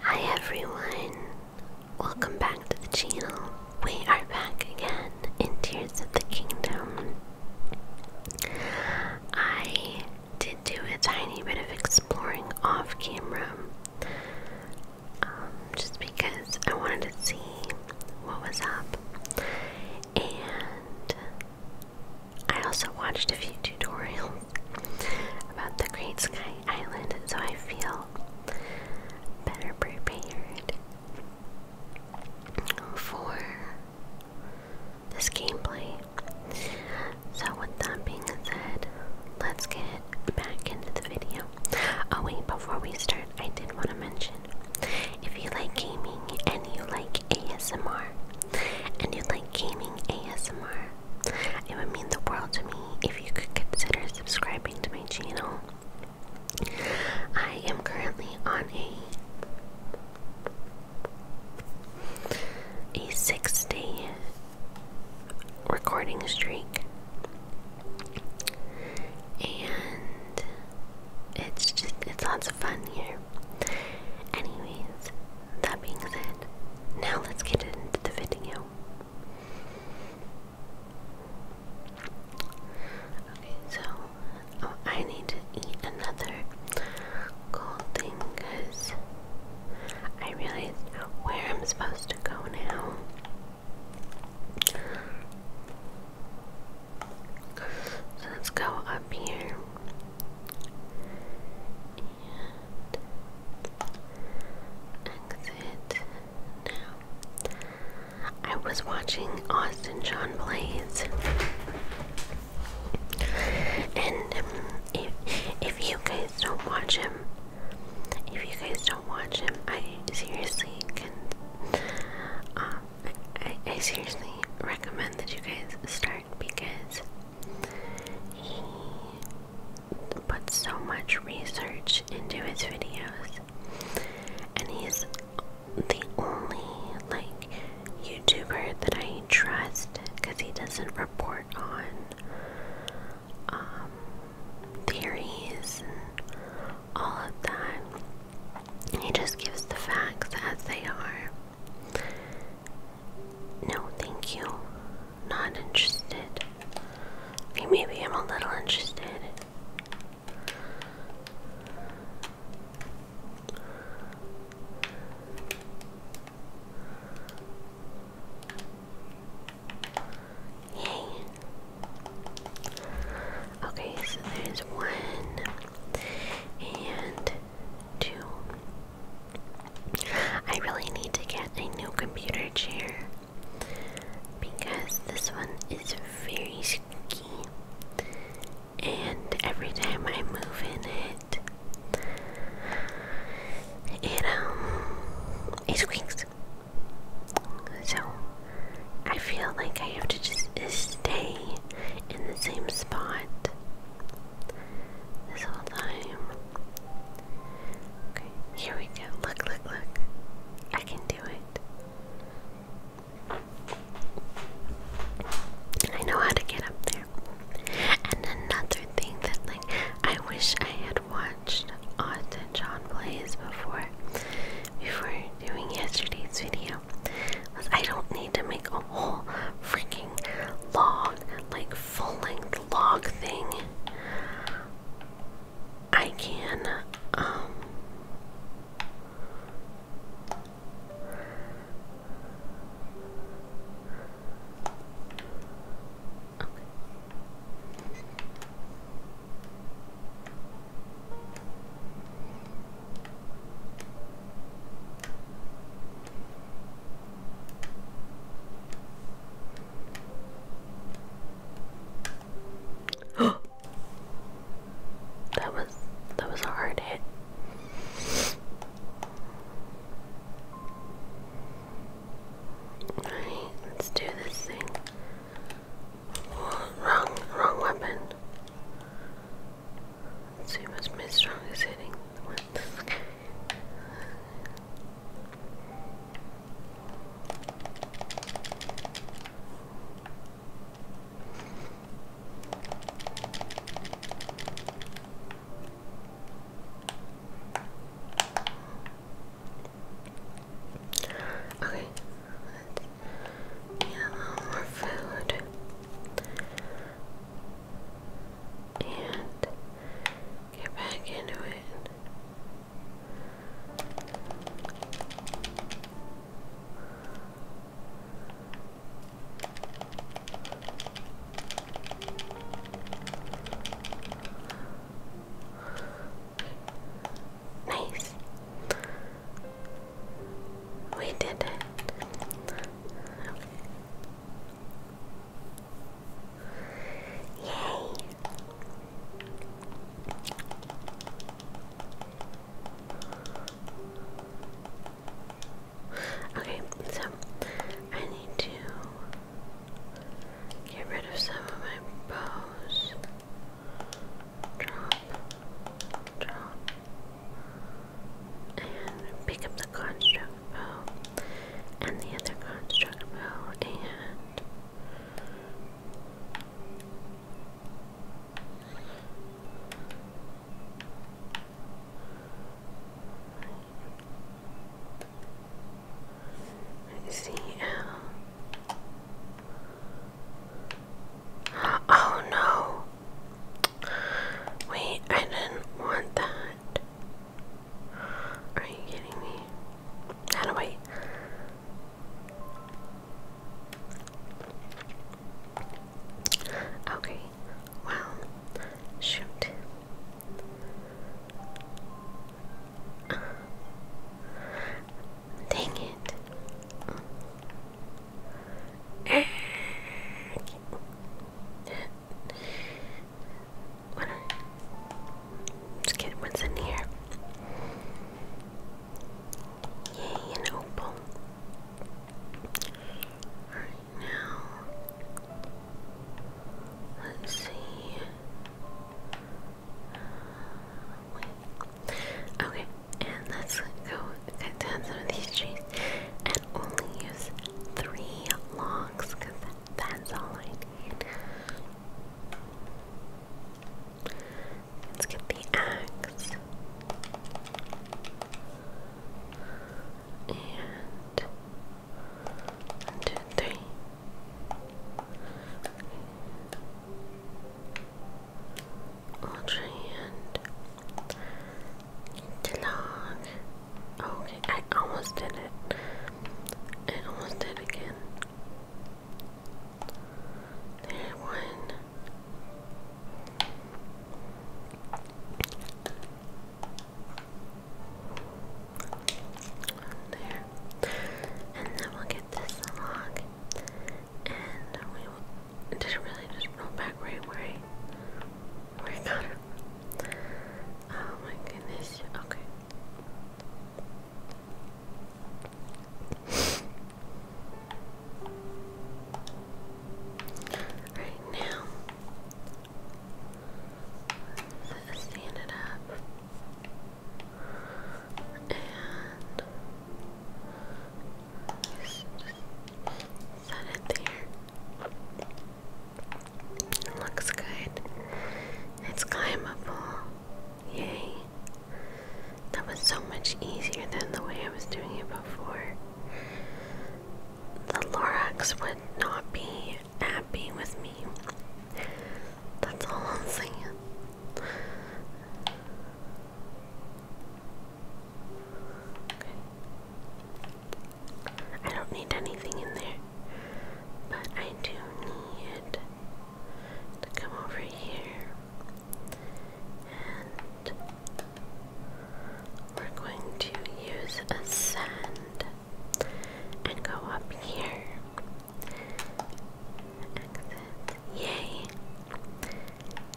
Hi everyone! Welcome back to the channel. We are back again in Tears of the Kingdom. I did do a tiny bit of exploring off camera um, just because I wanted to see what was up. And I also watched a few tutorials about the Great Sky island, so I feel better prepared for this gameplay. So, with that being said, let's get back into the video. Oh, wait, before we start, I did want to mention if you like gaming and you like ASMR, and you like gaming ASMR, it would mean the world to me if you could consider subscribing to my channel. I am currently on a a six recording streak and it's just it's lots of fun here. Anyways, that being said, now let's get into the video. Okay, so oh, I need to eat another cold thing because I realize where I'm supposed to go now. So let's go up here exit now. I was watching Austin John Blaze, and um, if if you guys don't watch him, if you guys don't watch him, I seriously can. Uh, I, I seriously recommend that you guys start because he puts so much research into his videos, and he's the only like YouTuber that I trust because he doesn't report on um, theories and all of that. He just gives the facts as they are. No, thank you not interested. maybe I'm a little interested. Yay. Okay, so there's one and two I really need to get a new computer chair because this one is very squeaky, and every time I move in it, it um it squeaks. So I feel like I have to just stay in the same spot this whole time. Okay, here we go. Look, look, look. I can do it. I know how to get up there. And another thing that, like, I wish I had watched Austin John plays before, before doing yesterday's video, was I don't need to make a whole freaking log, like full-length log thing. I can um that was that was a hard hit. Alright, let's do this thing. wrong, wrong weapon. Let's see what's my strongest hitting. One. Okay, let a little more food. And Get back into it. Nice. We did it. Yay! Okay, so I need to get rid of some of my bows. Drop, drop, and pick up the construct. Um, and the other card struck a and C L. Um, oh no! Wait, I didn't want that. Are you kidding me? How do I? Okay. Well, shoot. Dang it. Let's get what's in here. Yay, an opal. Alright, now. Let's see. Uh, okay, and let's go cut down some of these trees and only use three logs that's all I Let's get the axe. And one, two, three. Ultra hand. Too long. Okay, I almost did it. I almost did it again. There one. There. And then we'll get this log. And we will. Did it really just roll back right where I, got it? Oh my goodness. Okay. right now, stand it up and just it there. It looks good. It's climbable. Yay. That was so much easier than the way I was doing it before. The Lorax would not be happy with me. That's all I'm saying. I don't need anything in there. But I do need to come over here and we're going to use ascend and go up here. Yay.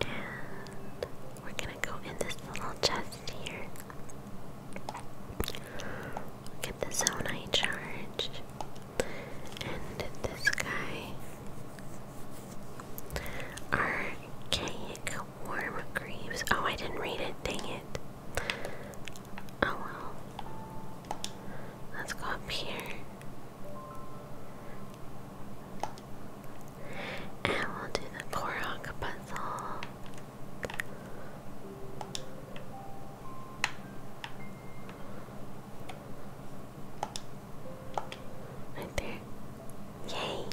And we're gonna go in this little chest here. Get the zone I charged. And this guy. Archaic warm greaves. Oh, I didn't read it. Dang it. Oh well. Let's go up here. And we'll do the Korok puzzle. Right there. Yay!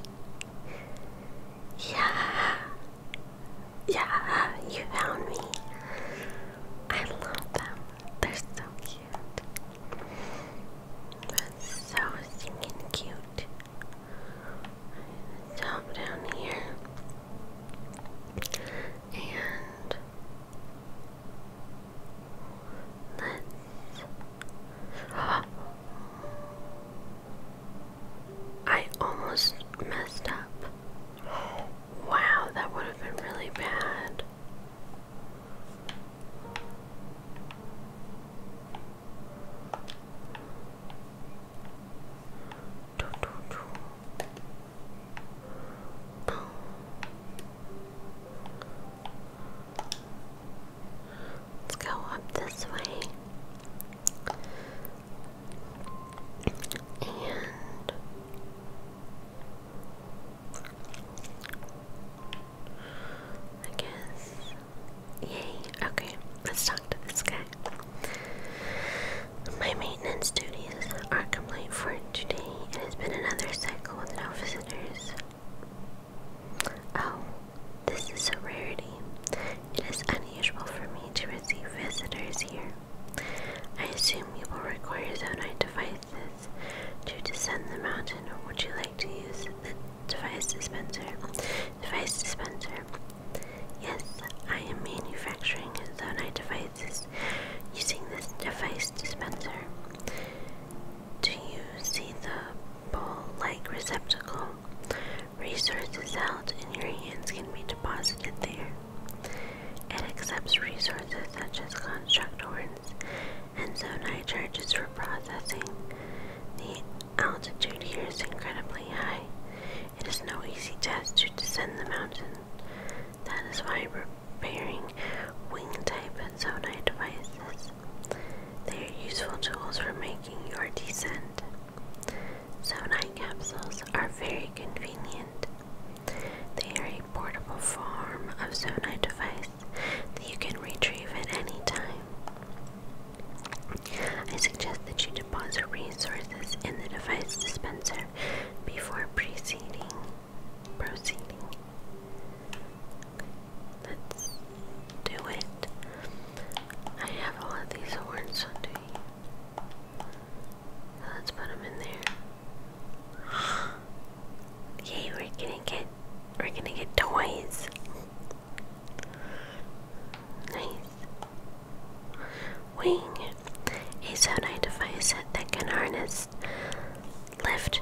Yeah! Yeah, you found me. I love them. They're so cute. they so singing cute. Jump down here and let's. I almost messed up. Wow, that would have been really bad. Let's go up this way. And I guess, yay, okay, let's talk to this guy. My maintenance duties are complete for today. and It has been another cycle without visitors. Oh, this is a rarity. It is unusual for me to receive visitors here. I assume you will require your Zonite devices to descend the mountain, or would you like to use the device dispenser? Device dispenser. Yes, I am manufacturing Zonai devices using this device dispenser. Do you see the bowl-like receptacle? Resources held in your hands can be deposited there. It accepts resources such as construct horns and zonai charges for processing. The altitude here is incredibly high. It is no easy task to descend the mountain. That is why repairing wing type and zonite devices. They are useful tools for making your descent. Sonai capsules are very convenient. They are a portable form of zonite device that you can retrieve at any time. I suggest that you deposit resources in the device dispenser before proceeding. Proceeding. let's do it. I have all of these horns Let's put them in there. Yay, we're gonna get we're gonna get toys. Nice. Wing, a sonar device that can harness lift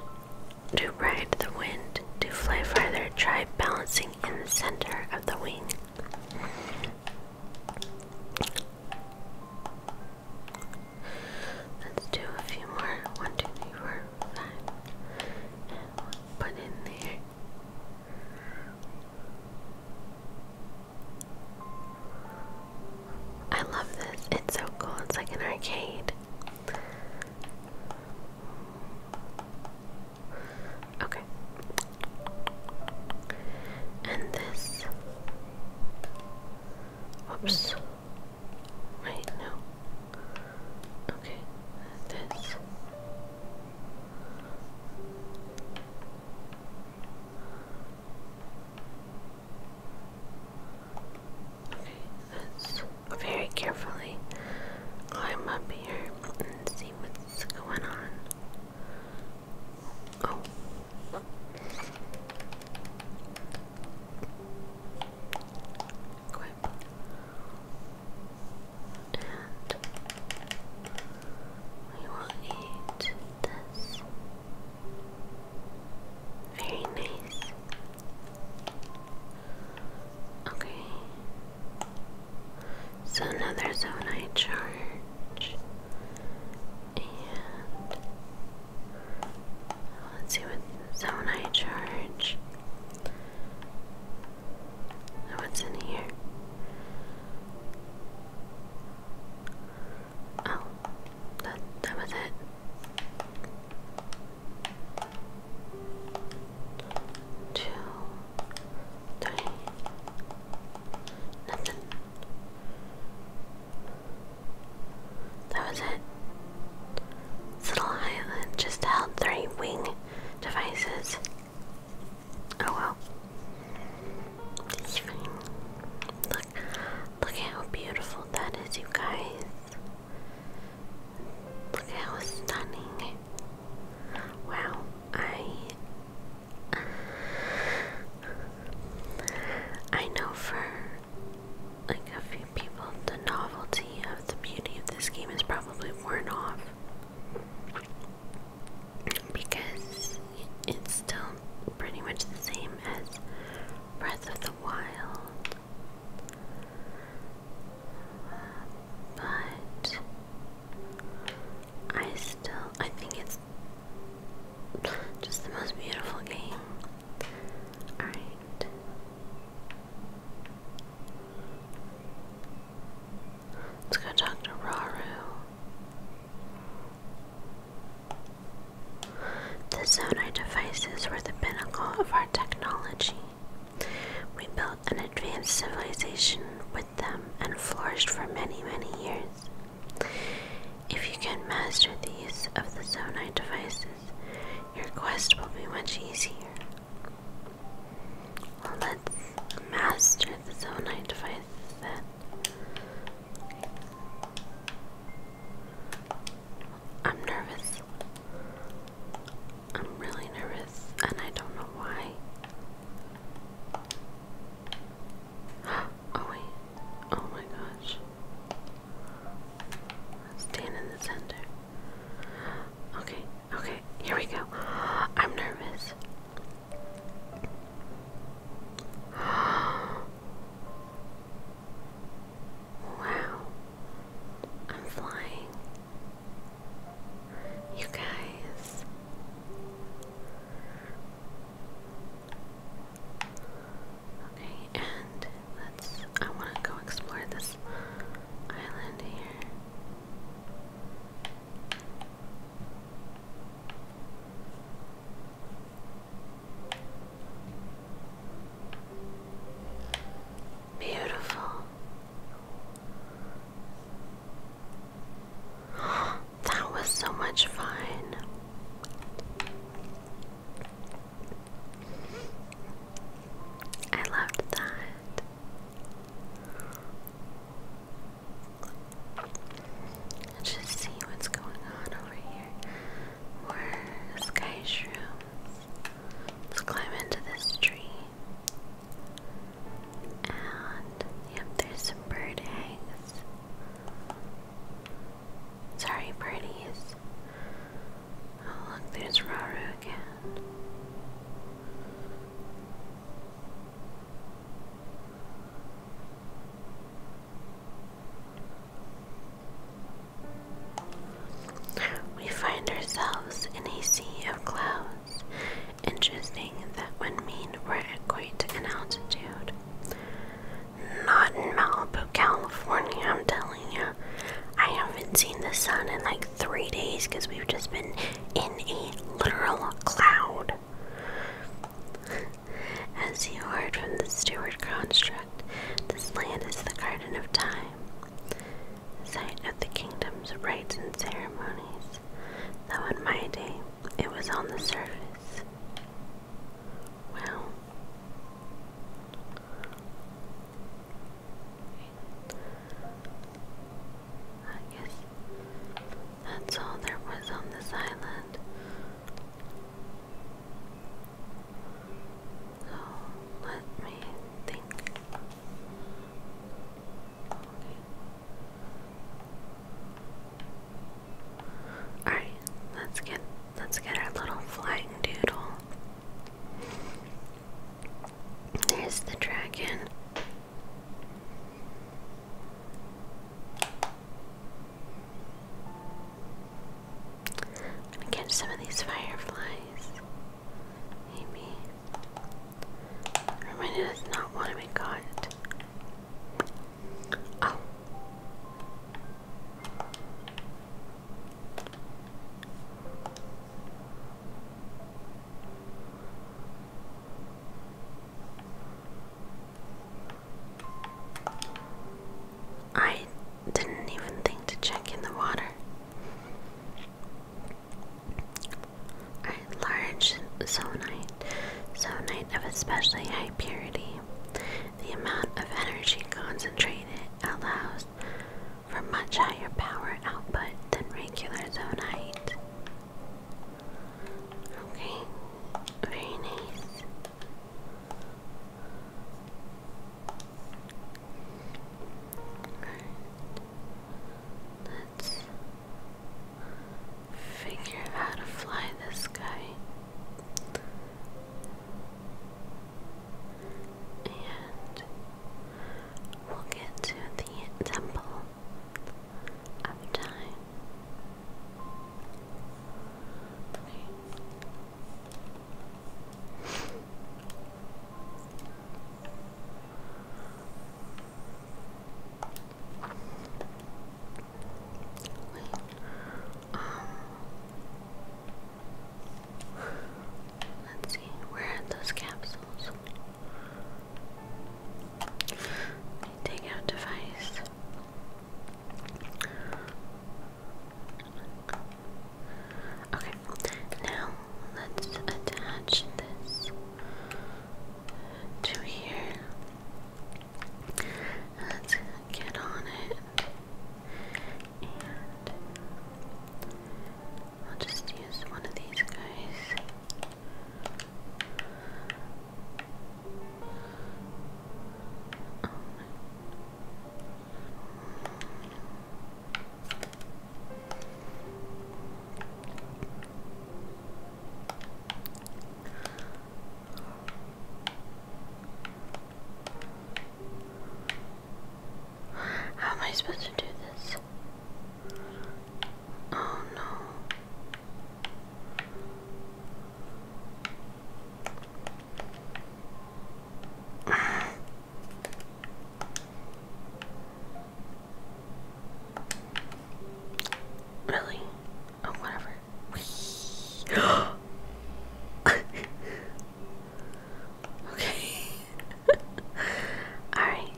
to ride the wind to fly farther. Try balancing in the center of the wing. Let's do a few more. One, two, three, four, five. And we put in there. I love this. It's so cool. It's like an arcade. Okay. And this. Oops. Wait, no. Okay. This. Okay, let's very carefully climb up here and see what's going on. Oh. Equip. we will eat this. Very nice. Okay. So now there's charge. And let's see what zone charge. What's in here? Oh, that that was it. Two, three, nothing. That was it. This little island just held three wing devices. Oh well. Look, look how beautiful that is, you guys. Look how stunning. Wow, I. I know for like a few people the novelty of the beauty of this game is probably worn off because it's still pretty much the same as Breath of the Wild. But I still I think it's just the most beautiful game. Alright. Let's go talk to Raru. The Zonai devices were the pinnacle of our technology. We built an advanced civilization with them and flourished for many, many years. If you can master the use of the Zonai devices, your quest will be much easier. Well, let's master the Zonai devices then. I'm nervous. I'm really nervous, and I don't know why. Oh, wait. Oh my gosh. Stand in the center. Okay, okay, here we go. I'm nervous wow. I'm flying. You guys. Okay, and let's. I want to go explore this island here. Beautiful. That was so much fun. I loved that. Let's just see what's going on over here. More sky shrooms. Let's climb into this tree. And yep, there's some bird eggs. Sorry, birdies. Oh look, there's Raru again. We find ourselves in a sea of clouds. Interesting that would mean we're at quite an altitude. Not in Malibu, California, I'm telling you. I haven't seen the sun in like three days because we've just been in a literal cloud. As you heard from the Steward construct, this land is the Garden of Time, the site of the kingdom's rites and ceremonies, though in my day it was on the surface. Wow. I guess that's all there was on this island. So let me think. Alright, let's get let's get our little flying doodle. There's the dragon. I'm gonna catch some of these fireflies. Maybe. Reminder does not want to be Oh. I didn't even think to check in the water. large zonite. Zonite of especially high purity. The amount of energy concentrated allows for much higher power output than regular zonite. Okay, very nice. Alright, let's figure out how to fly this guy. And we'll get to the temple of time. Let's see, where are those capsules? Take out device. Okay, now let's attach this to here. Let's get on it. And I'll just use one of these guys how am I supposed to do this? Oh no really? Oh, whatever. okay. Alright.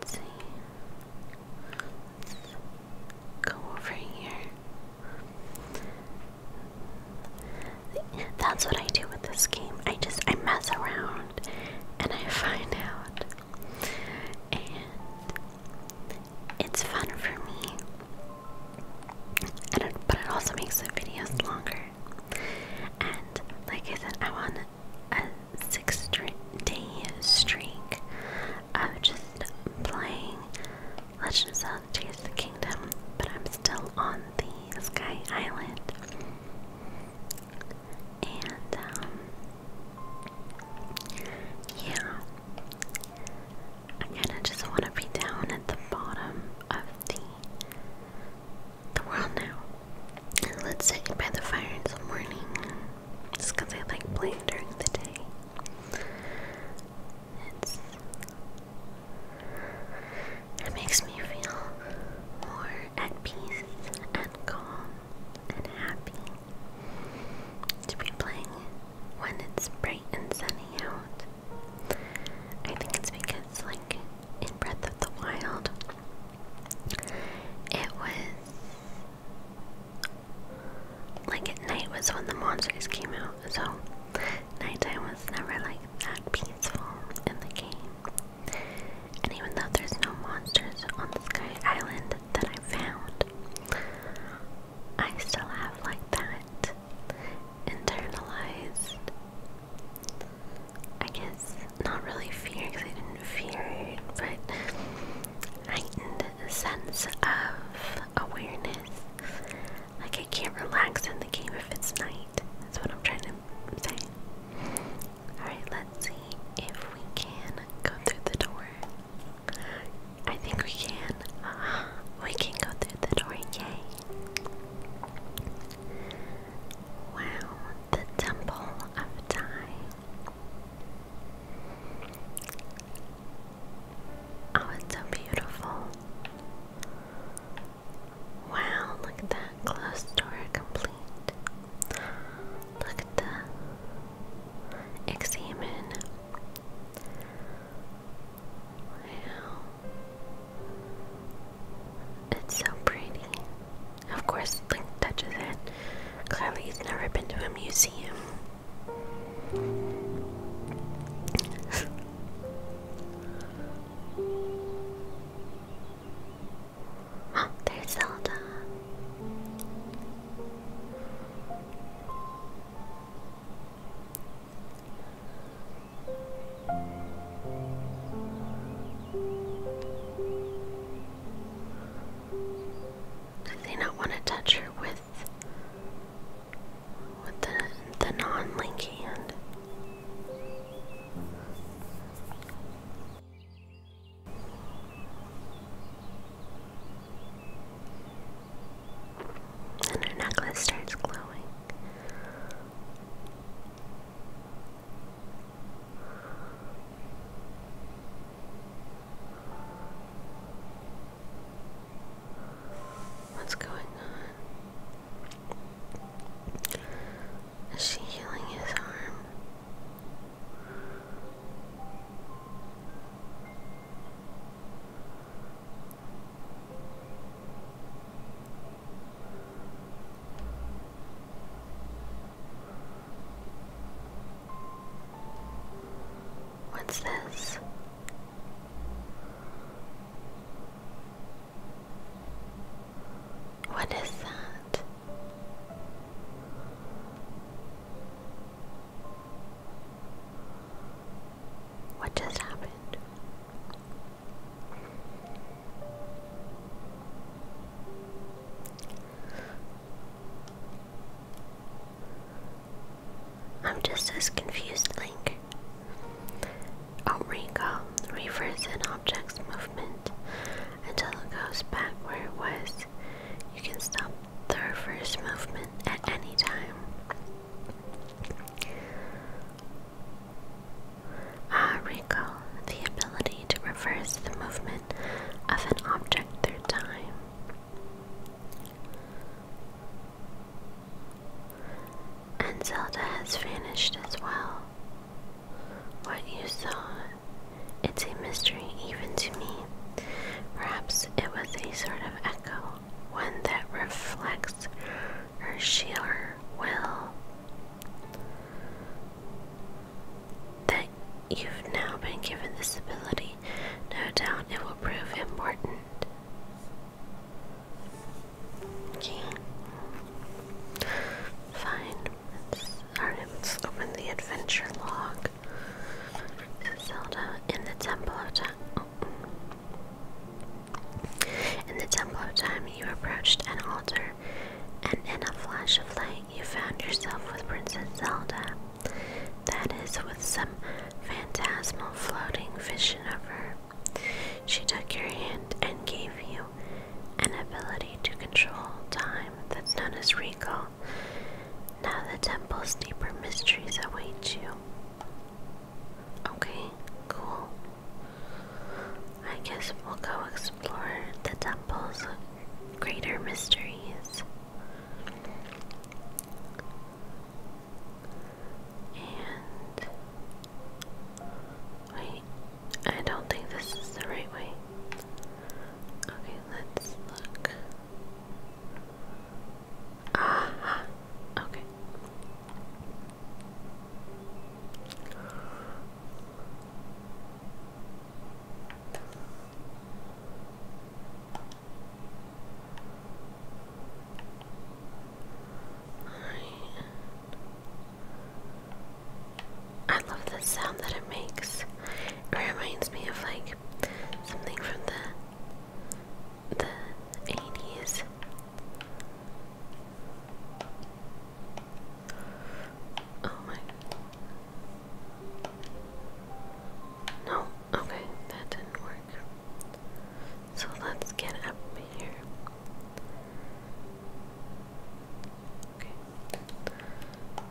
Let's see. go over here. That's what I do with this game. I just I mess around and I find out. And it's fun for me. And it, but it also makes the videos longer. And like I said, I want a six day streak of just playing Legend of Zelda Tears of the Kingdom, but I'm still on the Sky Island. And, um, yeah. I kinda just wanna be down at the bottom of the the world now. Let's sit by the fire in the morning. Just because I like playing during the day. it makes me feel more at peace and calm and happy to be playing when it's bright and sunny out. I think it's because, like, in Breath of the Wild, it was like at night was when the monsters came out, so nighttime was never like that peaceful in the game. And even though there's no monsters on the Sky Island that I found, I still have like that internalized I guess not really fear because I didn't fear it, but heightened sense of awareness. Like I can't relax in the game if it's night. That's what I'm trying to say. Alright, let's see if we can go through the door. I think we can. We can go through the door, yay! Wow, the Temple of Time. Oh, it's so beautiful. Wow, look at that. Closed door complete. Look at the examine. Wow. It's so pretty. Of course, Link touches it. Clearly, he's never been to a museum. Oh, there's Zelda. Did they not want to touch her with with the the non-link hand? And her necklace starts glowing. What's going on? Is she healing his arm? What's this? What is that? What just happened? I'm just as confused, Link. recall reverse an object's movement until it goes back where it was. You can stop the reverse movement at any time. Ah, recall the ability to reverse the movement of an object through time. And Zelda has vanished as well. What you saw, it's a mystery even to me. Perhaps it was a sort of echo, one that reflects her sheer will. That you've now been given this ability, no doubt it will prove important. Okay. Fine. Alright, let's open the adventure log. Zelda in the Temple of Time. Oh. In the Temple of Time, you approached an altar and in a flash of light, you found yourself with Princess Zelda. That is, with some phantasmal floating vision of her. She took your hand and gave you an ability to control time that's known as recall. Now the temple's deeper mysteries await you. Okay, cool. I guess we'll go explore the temple's greater mysteries. And wait, I don't think this is the right way. Okay, let's look. Ah, okay. I love the sound that it makes. It reminds me of like something from the the 80s. Oh my. No, okay, that didn't work. So let's get up here. Okay.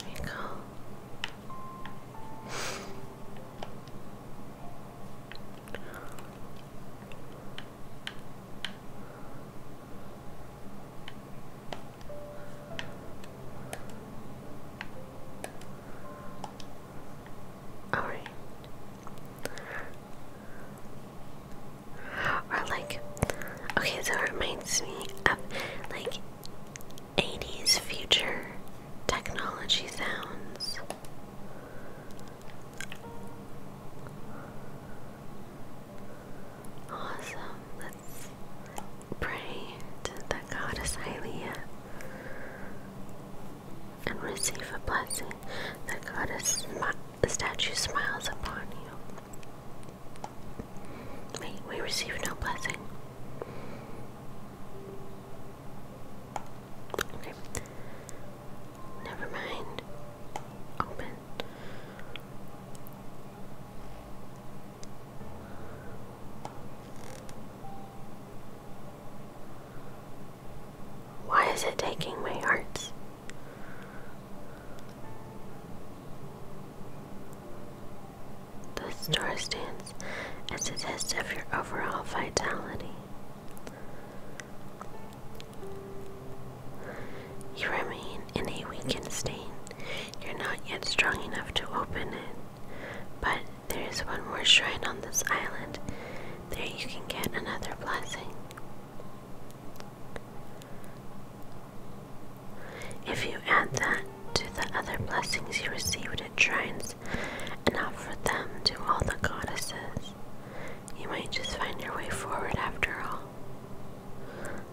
There you go. All right. Or like, okay, so it reminds me of like 80s future technology sounds. Awesome. Let's Pray to the goddess Hylia and receive a blessing. The goddess the statue smiles upon you. Wait, we receive no blessing. Okay. Never mind. Open. Why is it taking my heart? The star stands as a test of your overall vitality. You remain in a weakened state you're not yet strong enough to open it. But there is one more shrine on this island. There you can get another blessing. If you add that to the other blessings you received at shrines and offer them to all the goddesses, you might just find your way forward after all.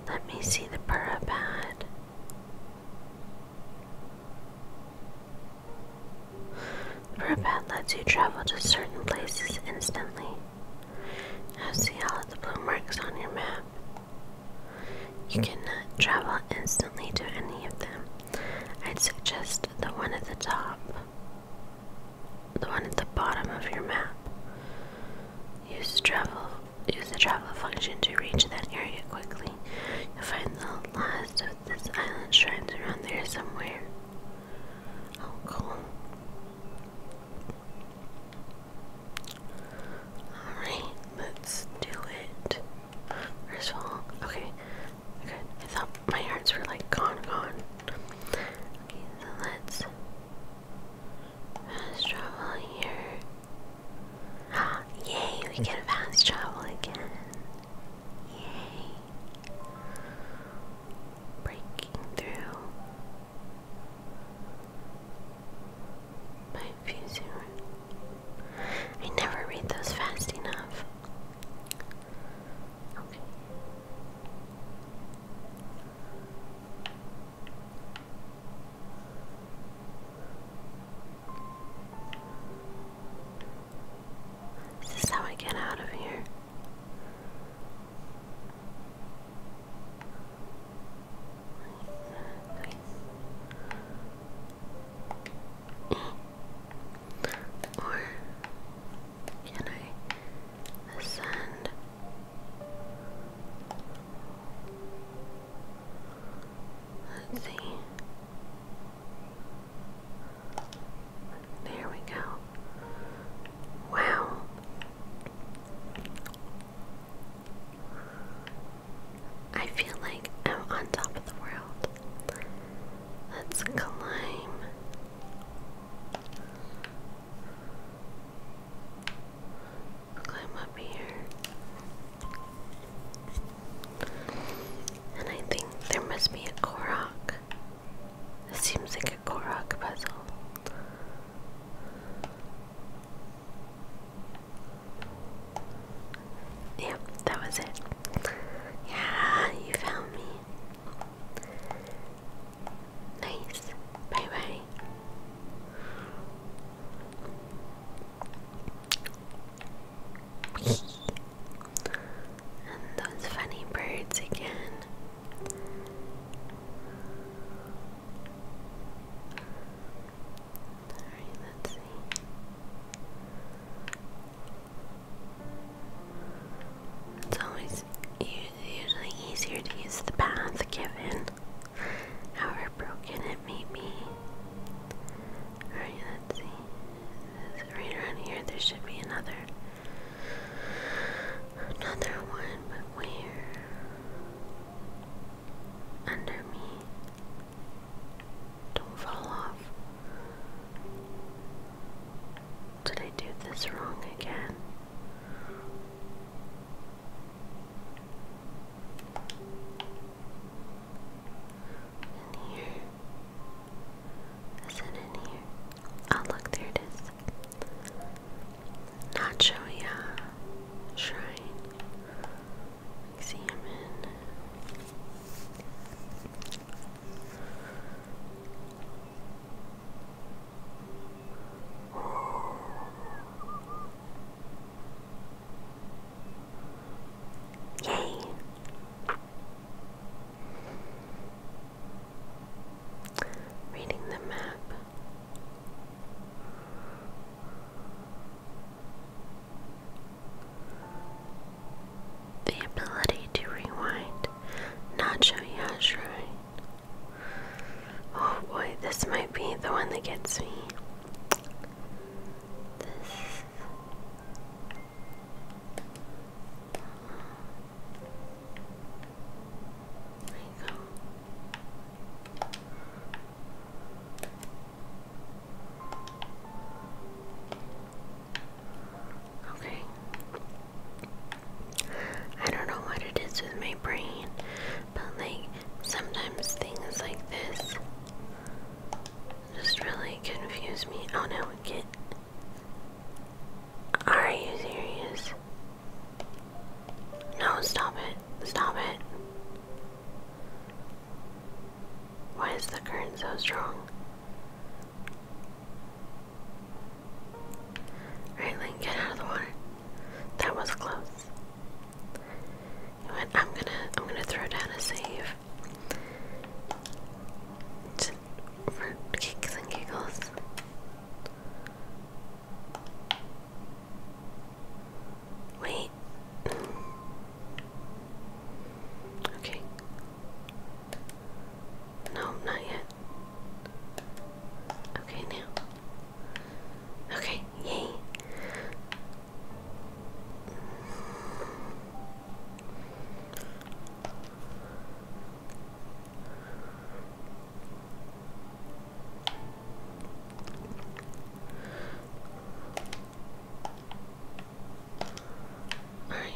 Let me see the pad. Purbat lets you travel to certain places instantly. Now see all the blue marks on your map. You cannot travel instantly to any of them. I'd suggest the one at the top, the one at the bottom of your map. Use travel. Use the travel function to reach that area quickly. You'll find the last of this island shrines around there somewhere. Oh, cool. Alright, let's do it. First of all, okay, good. I thought my hearts were like gone, gone. let's Fast travel here. Ah, yay, we can fast travel again. Yay. Breaking through. My fusing I never read those fast enough. Okay. Is this how I get out of here? Or can I ascend Let's see. There we go. Wow. I feel like I'm on top of the world. Let's climb climb up here. And I think there must be a Korok. This seems like a Korok puzzle. Yep, that was it. Yeah, you found me. Nice. Bye bye and those funny birds again. Alright, let's see. It's always usually easier to use the path given however broken it may be. Alright, let's see. Right around here, there should be another. Another one, but where? Under me. Don't fall off. Did I do this wrong again? In here. Is it in here? Oh, look, there it is. Nacho Ya Shrine. Examine. Oh, Yay. Reading the map. The ability to rewind. Nacho Yashrine. Oh boy, this might be the one that gets me. Okay. I don't know what it is with my brain. But like sometimes things like this just really confuse me. Oh no, get Are you serious? No, stop it. Stop it. Why is the current so strong? Alright, Link, get out of the water. That was close. I'm gonna I'm gonna throw down a save. for kicks and giggles. Wait. Okay. No, not yet. Okay, now. Okay, yay. All right.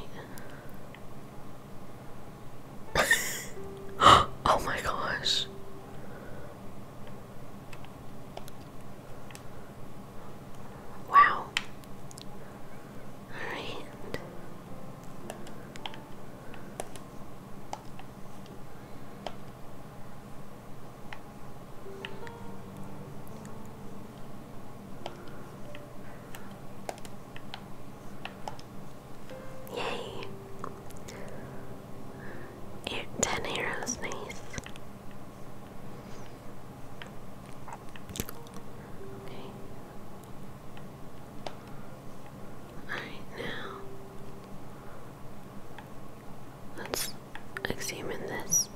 oh my gosh. Wow. All right. Yay. 10 arrows, nice. Alright, now let's examine this.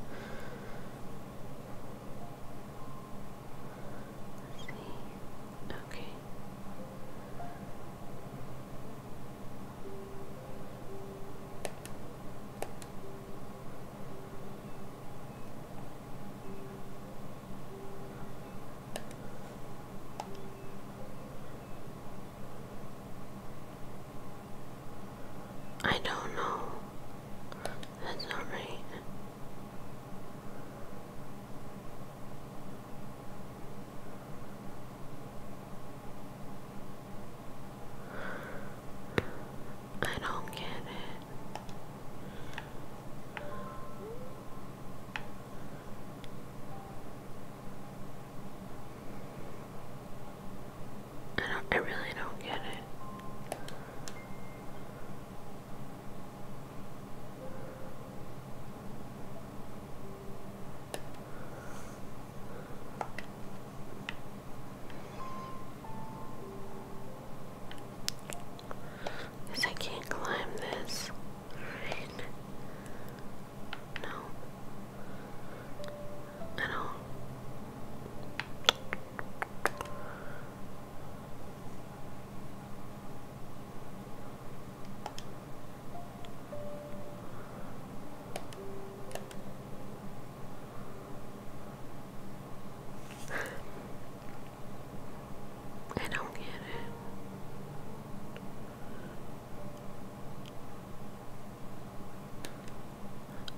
see. Okay. I don't know. That's not right. I don't get it. I don't I really don't get it. Because I can't climb this. Right. No. I don't. I don't get it.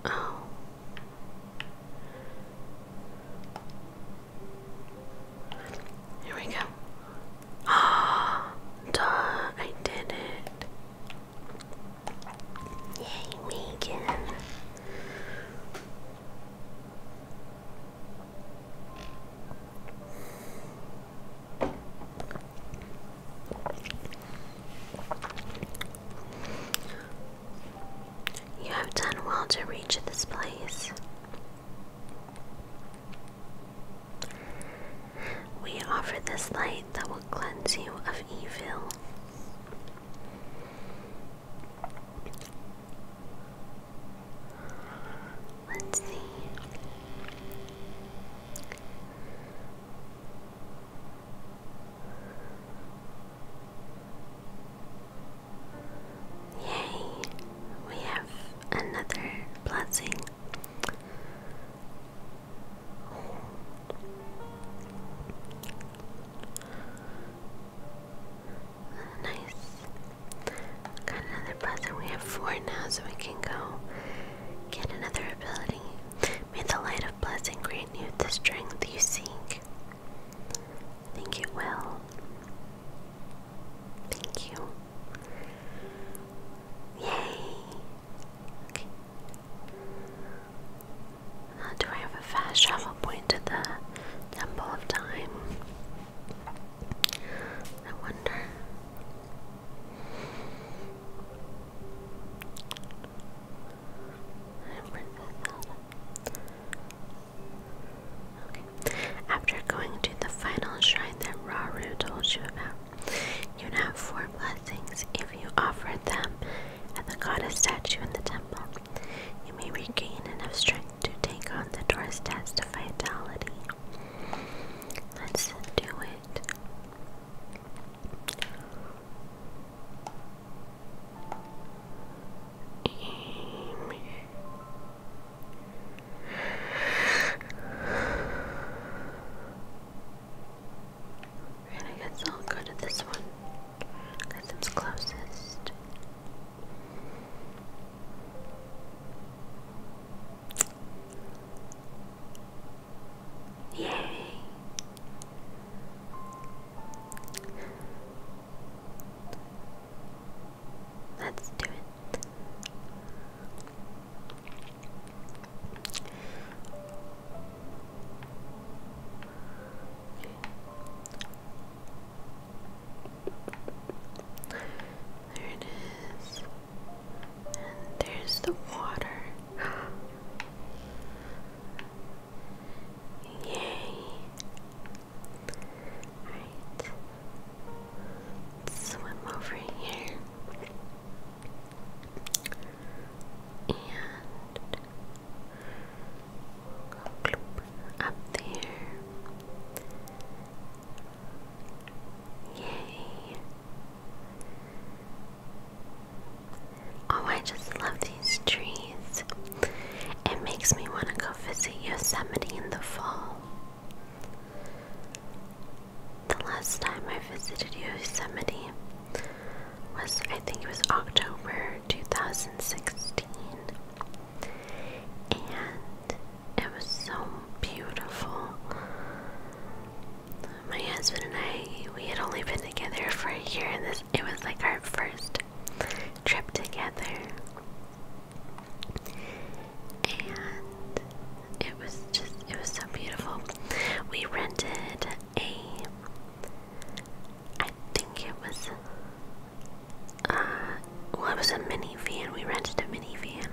Oh. Here we go. Ah, duh, I did it. Yay, Megan. You have done well to reach this place. We offer this light that will cleanse you of evil. Let's see. Yay, we have another blessing. Nice. Got another present. We have four now, so we can go get another ability. May the light of blessing grant you the strength you seek. I think it Thank you. Yay! do I have a fast travel point to the Temple of Time? I wonder. After going to the final shrine that Raru told you about, You'd have four blessings if you offer them at the goddess statue in the temple. You may regain enough strength to take on the door's test of vitality. Let's do it. Aim. I guess I'll go to this one it's closest. Yay! Let's do it. There it is. there's the water. Yay. Alright. swim over here and up there. Yay! Oh, I just love these trees. It makes me want to go visit Yosemite in the fall. The last time I visited Yosemite was, I think it was October 2016. And it was so beautiful. My husband and I, we had only been together for a year, and this it was like our first trip together. And it was just it was so beautiful. We rented a I think it was uh well it was a minivan. We rented a minivan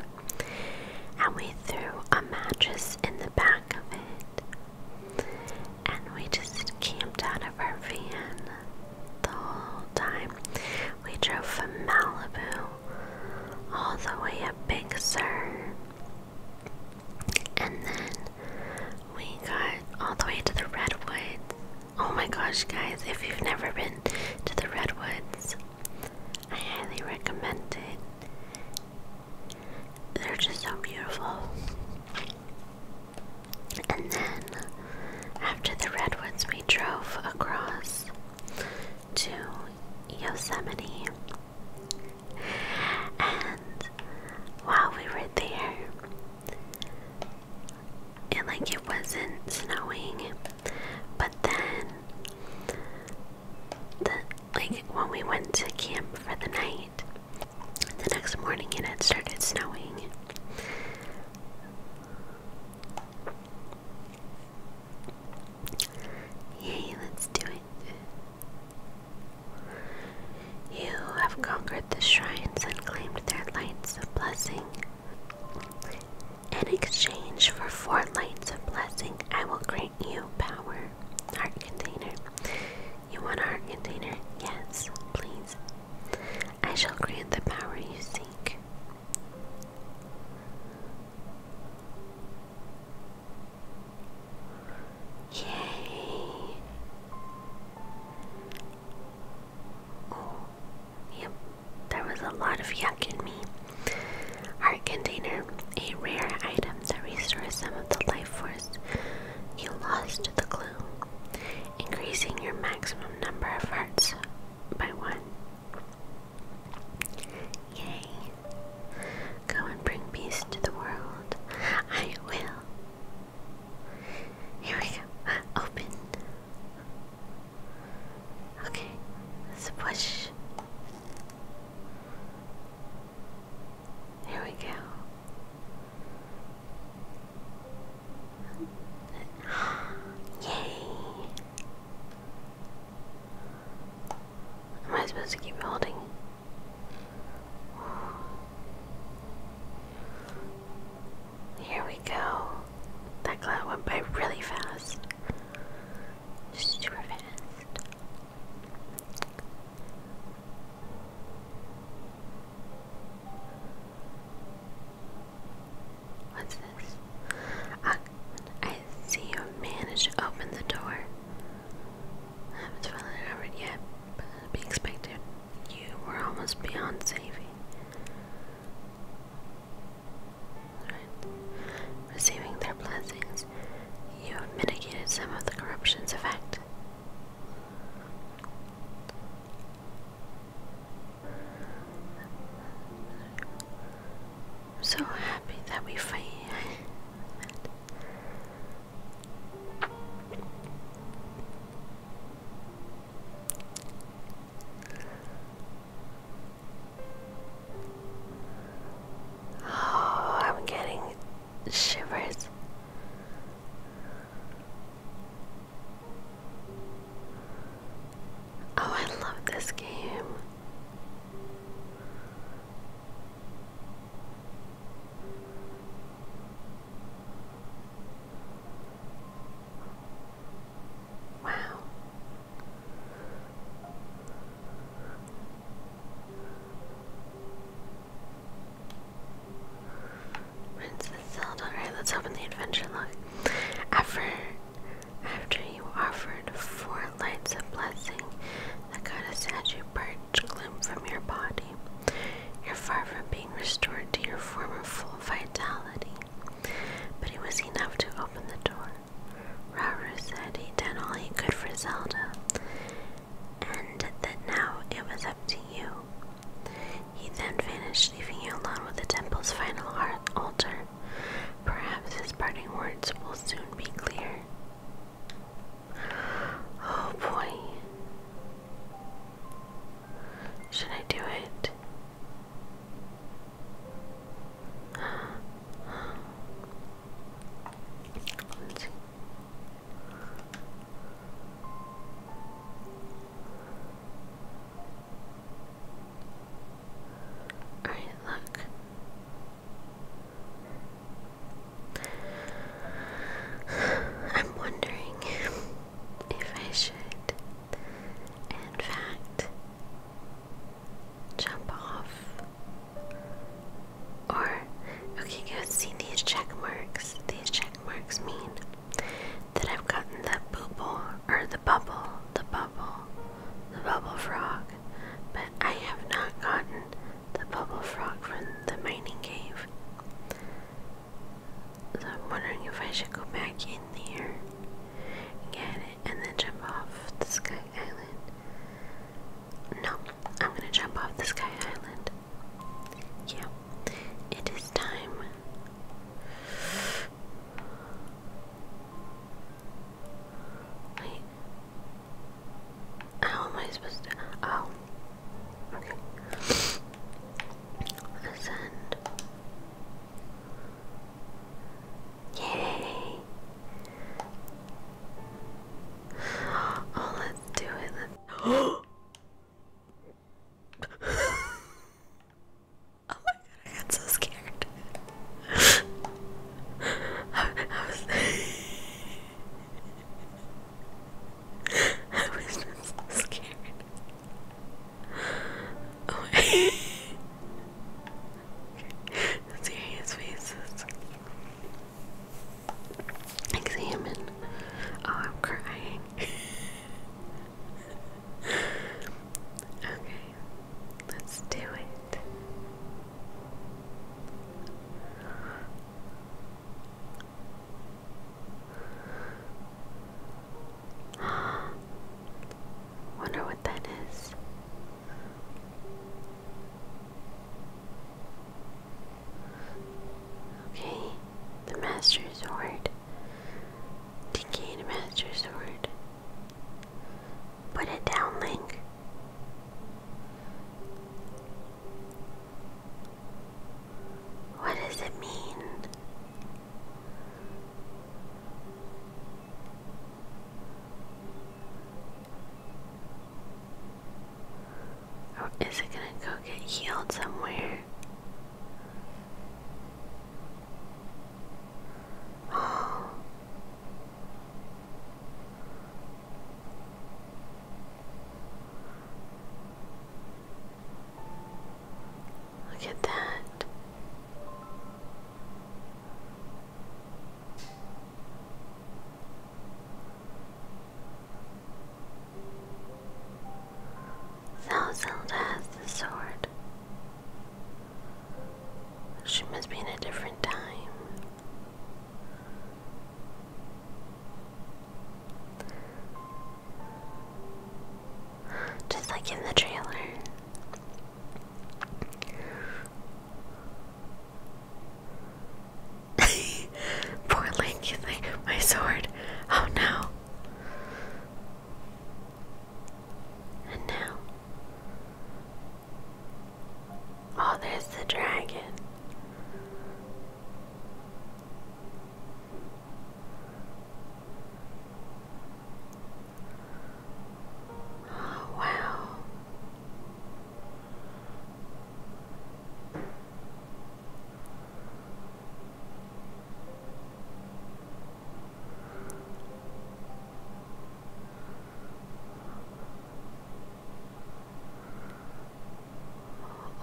and we threw a mattress in the back of it and we just camped out of our van the whole time. We drove from Malibu all the way up Big Sur and then we got all the way to the Redwoods. Oh my gosh, guys, if you've never been to the Redwoods, I highly recommend it. They're just so beautiful. And then after the Redwoods, we drove across to Yosemite. And while we were there, and like it wasn't snowing, but then the like when we went to camp for the night, the next morning it had started snowing. Yay, let's do it. You have conquered the shrines and claimed their lights of blessing. In exchange for four lights of blessing, I will grant you power. Heart container. You want heart container? Yes, please. I shall grant the power you seek. Yay! Oh, yep, there was a lot of yuck in me. Art container, a rare item that restores some of the life force you lost the clue, increasing your maximum number of hearts by one. Yay. Go and bring peace to the world. I will. Here we go. Open. Okay. push. There we go. Yay! Am I supposed to keep holding? Here we go. That cloud went by really fast. super fast. What's this? Ah, I see you managed to open the door. I haven't found it yet, but it'd be expected. You were almost beyond saving. Right. Receiving their blessings, you have mitigated some of the corruption's effect. I'm so happy that we fight. Oh, I'm getting shivers. Oh, I love this game. Wow. When's the Zelda? Alright, let's open the adventure log. After after you offered four lights of blessing that got a you purge gloom from your body. You're far from being restored to your former full vitality. But it was enough to open the door. Rauru said he'd done all he could for Zelda, and that now it was up to you. He then vanished, leaving you alone with the temple's final heart altar. Perhaps his parting words will soon be clear. Oh boy. Should I do it? All right, look. I'm wondering if I should, in fact, jump off. Or, okay, guys, see these check marks. These check marks mean that I've gotten the bubble, or the bubble, the bubble, the bubble frog, but I have not gotten the bubble frog from the mining cave. So I'm wondering if I should go back in there and get it and then jump off the Sky Island. No, I'm gonna jump off the Sky Island. Yeah, it is time. Wait, how am I supposed to? Oh, okay. Ascend. Yay! Oh, let's do it. let oh my god, I got so scared. I, was scared. Oh my Serious faces. Examine. Oh, I'm crying. okay, let's do it. Wonder what that is. Okay, the Master Sword. Decayed Master Sword. Put it down, Link. What does it mean? Or oh, is it going to go get healed somewhere? Oh, Look at that. Zelda has the sword. She must be in a different time. Just like in the trailer. Poor Link, he's like, my sword. Oh no. And now, Oh, there's the dragon. Oh, wow.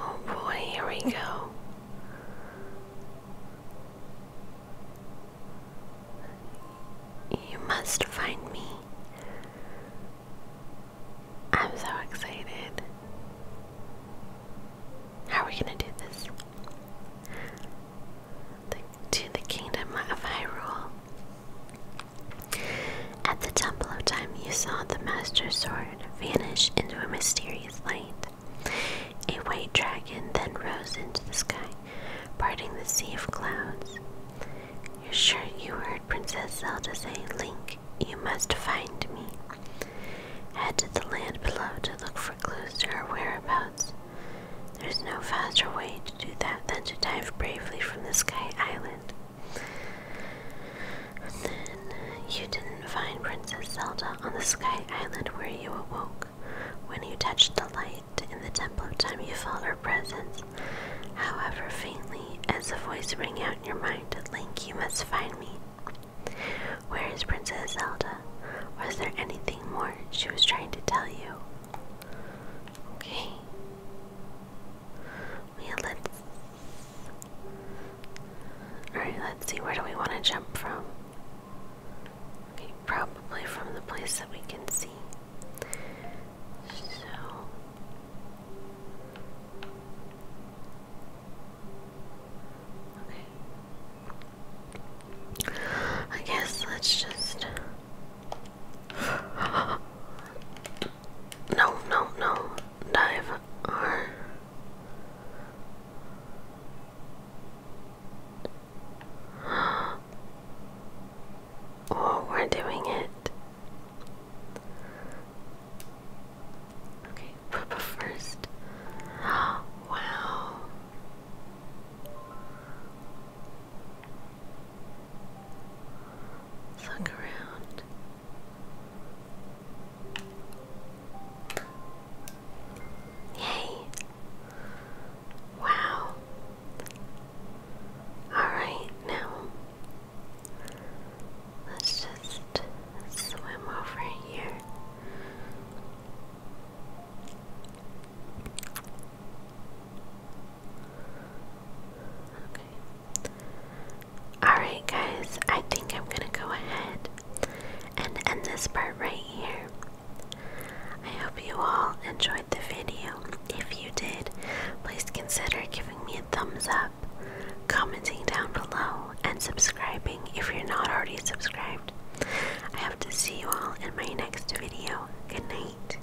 Oh boy, here we go. You must find me. I'm so excited. How are we gonna do this? The, the kingdom of Hyrule. At the Temple of Time, you saw the Master Sword vanish into a mysterious light. A white dragon then rose into the sky, parting the sea of clouds. You're sure you heard Princess Zelda say, Link, you must find me. Head to the land below to look for clues to her whereabouts. There's no faster way to do that than to dive bravely from the Sky Island. then uh, you didn't find Princess Zelda on the Sky Island where you awoke. When you touched the light in the Temple of Time, you felt her presence. However, faintly, as a voice rang out in your mind, Link, you must find me. Where is Princess Zelda? Was there anything more she was trying to tell you? Okay. Yeah, let's. Alright, let's see, where do we want to jump from? Okay, probably from the place that we can see. So. Okay. I guess let's just no, no, no. Dive. Or... we're doing it. Okay, Papa first. Wow. Look around. Yay! Wow. Alright, now let's just swim over here. Alright, guys, I think I'm gonna go ahead and end this part right here. I hope you all enjoyed the video. If you did, please consider giving me a thumbs up, commenting down below, and subscribing if you're not already subscribed. I hope to see you all in my next video. Good night.